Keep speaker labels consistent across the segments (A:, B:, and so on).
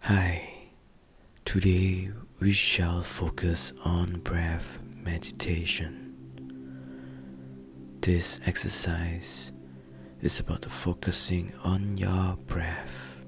A: Hi, today we shall focus on breath meditation. This exercise is about focusing on your breath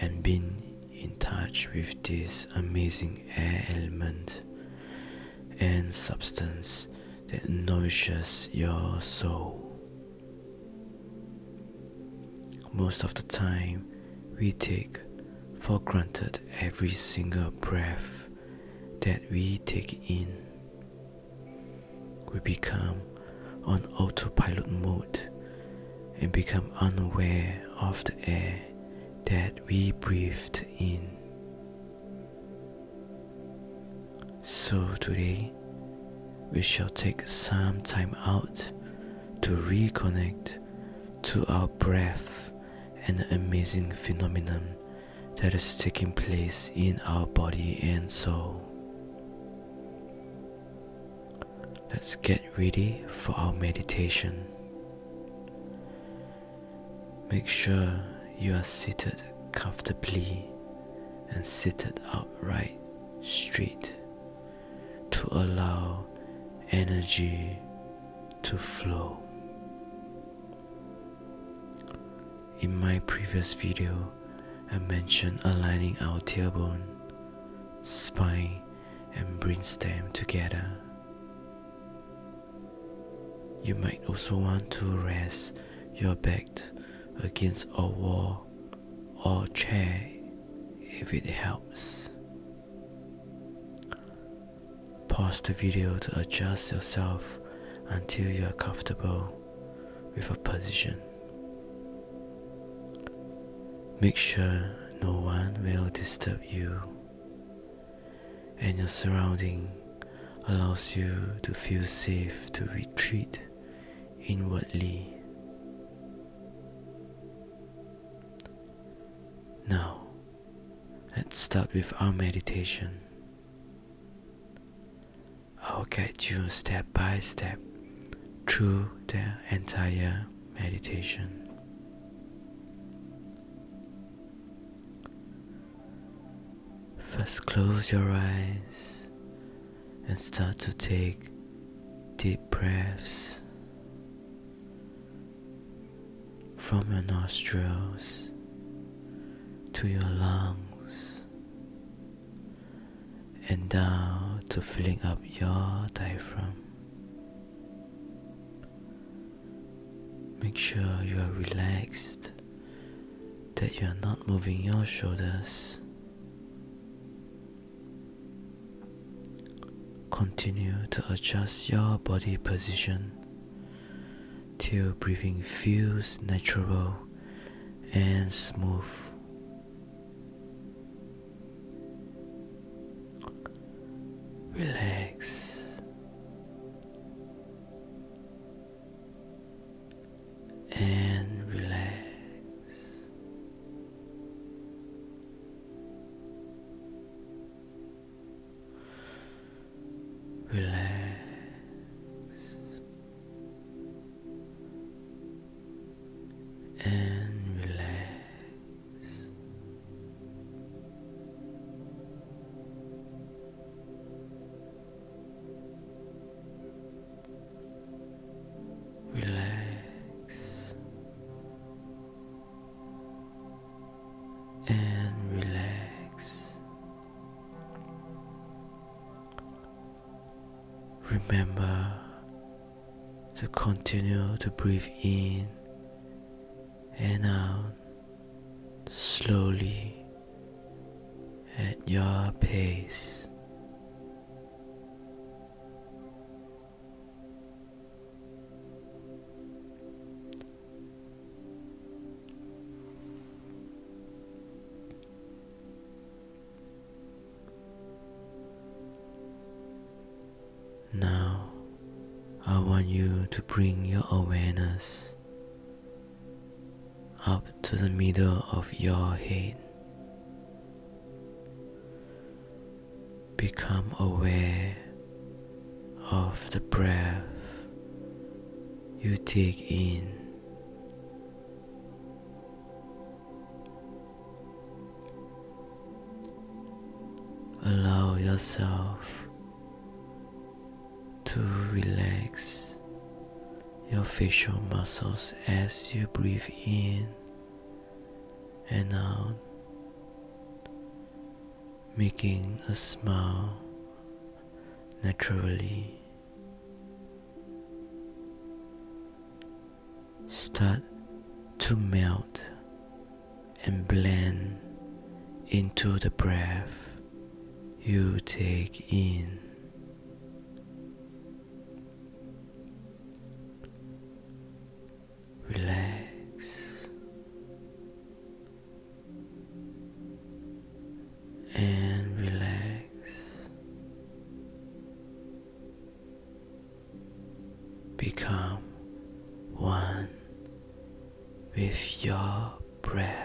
A: and being in touch with this amazing air element and substance that nourishes your soul. Most of the time, we take for granted every single breath that we take in. We become on autopilot mode and become unaware of the air that we breathed in. So today we shall take some time out to reconnect to our breath and the amazing phenomenon that is taking place in our body and soul. Let's get ready for our meditation. Make sure you are seated comfortably and seated upright straight to allow energy to flow. In my previous video, I mentioned aligning our tailbone, spine, and brainstem together. You might also want to rest your back against a wall or chair if it helps. Pause the video to adjust yourself until you are comfortable with a position. Make sure no one will disturb you and your surroundings allows you to feel safe to retreat inwardly. Now, let's start with our meditation. I'll guide you step by step through the entire meditation. First, close your eyes and start to take deep breaths from your nostrils to your lungs and down to filling up your diaphragm. Make sure you are relaxed, that you are not moving your shoulders Continue to adjust your body position till breathing feels natural and smooth. Relax and relax. Relax. And relax relax and relax. Remember to continue to breathe in and out slowly at your pace. Now, I want you to bring your awareness up to the middle of your head. Become aware of the breath you take in. Allow yourself to relax your facial muscles as you breathe in and out, making a smile naturally. Start to melt and blend into the breath you take in. Relax and relax. Become one with your breath.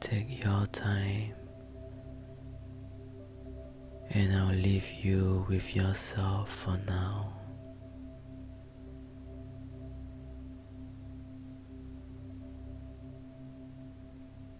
A: Take your time, and I'll leave you with yourself for now.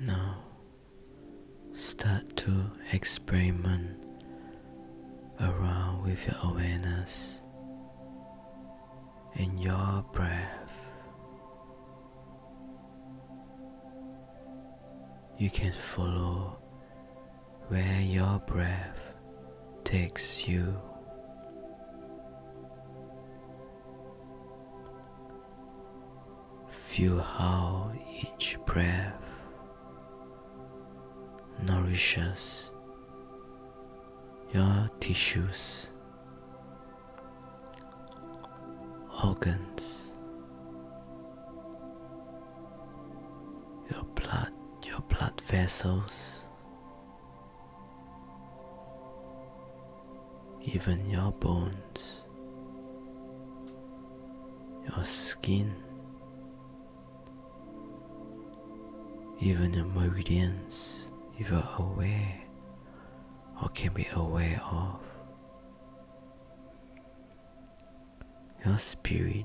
A: Now start to experiment around with your awareness in your breath. You can follow where your breath takes you. Feel how each breath nourishes your tissues, organs, your blood, your blood vessels, even your bones, your skin. Even meridians, if you are aware or can be aware of, your spirit,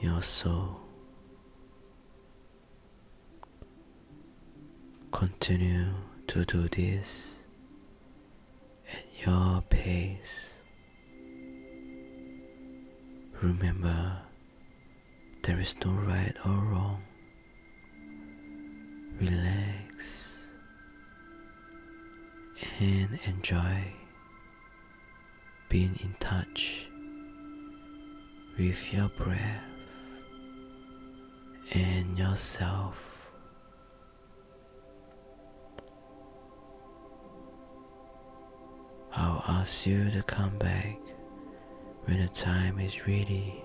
A: your soul continue to do this at your pace. Remember there is no right or wrong. Relax and enjoy being in touch with your breath and yourself. I'll ask you to come back when the time is ready.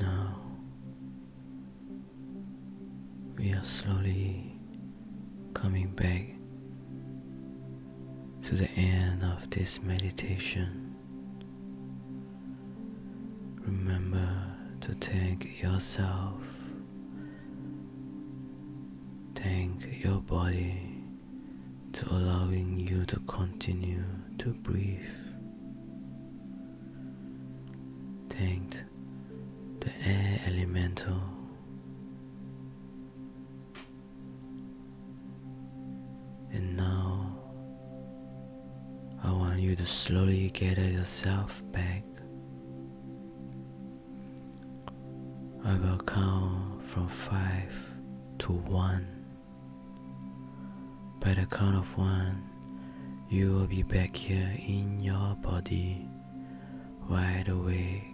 A: Now we are slowly coming back to the end of this meditation. Remember to thank yourself, thank your body for allowing you to continue to breathe thanked the air elemental and now I want you to slowly gather yourself back. I will count from five to one. By the count of one, you will be back here in your body, wide awake.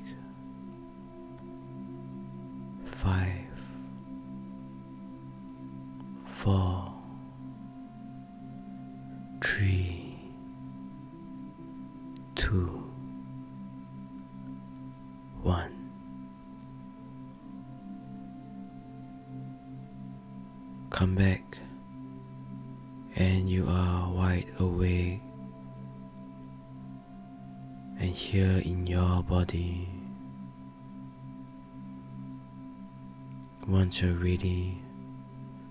A: Five, four, three, two, one. Come back, and you are wide awake, and here in your body. Once you're ready,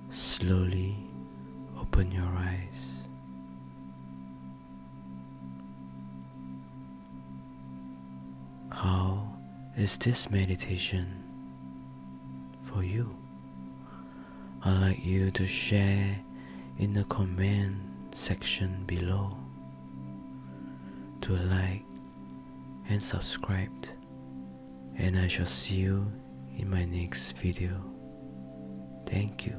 A: slowly open your eyes. How is this meditation for you? I'd like you to share in the comment section below to like and subscribe and I shall see you in my next video. Thank you.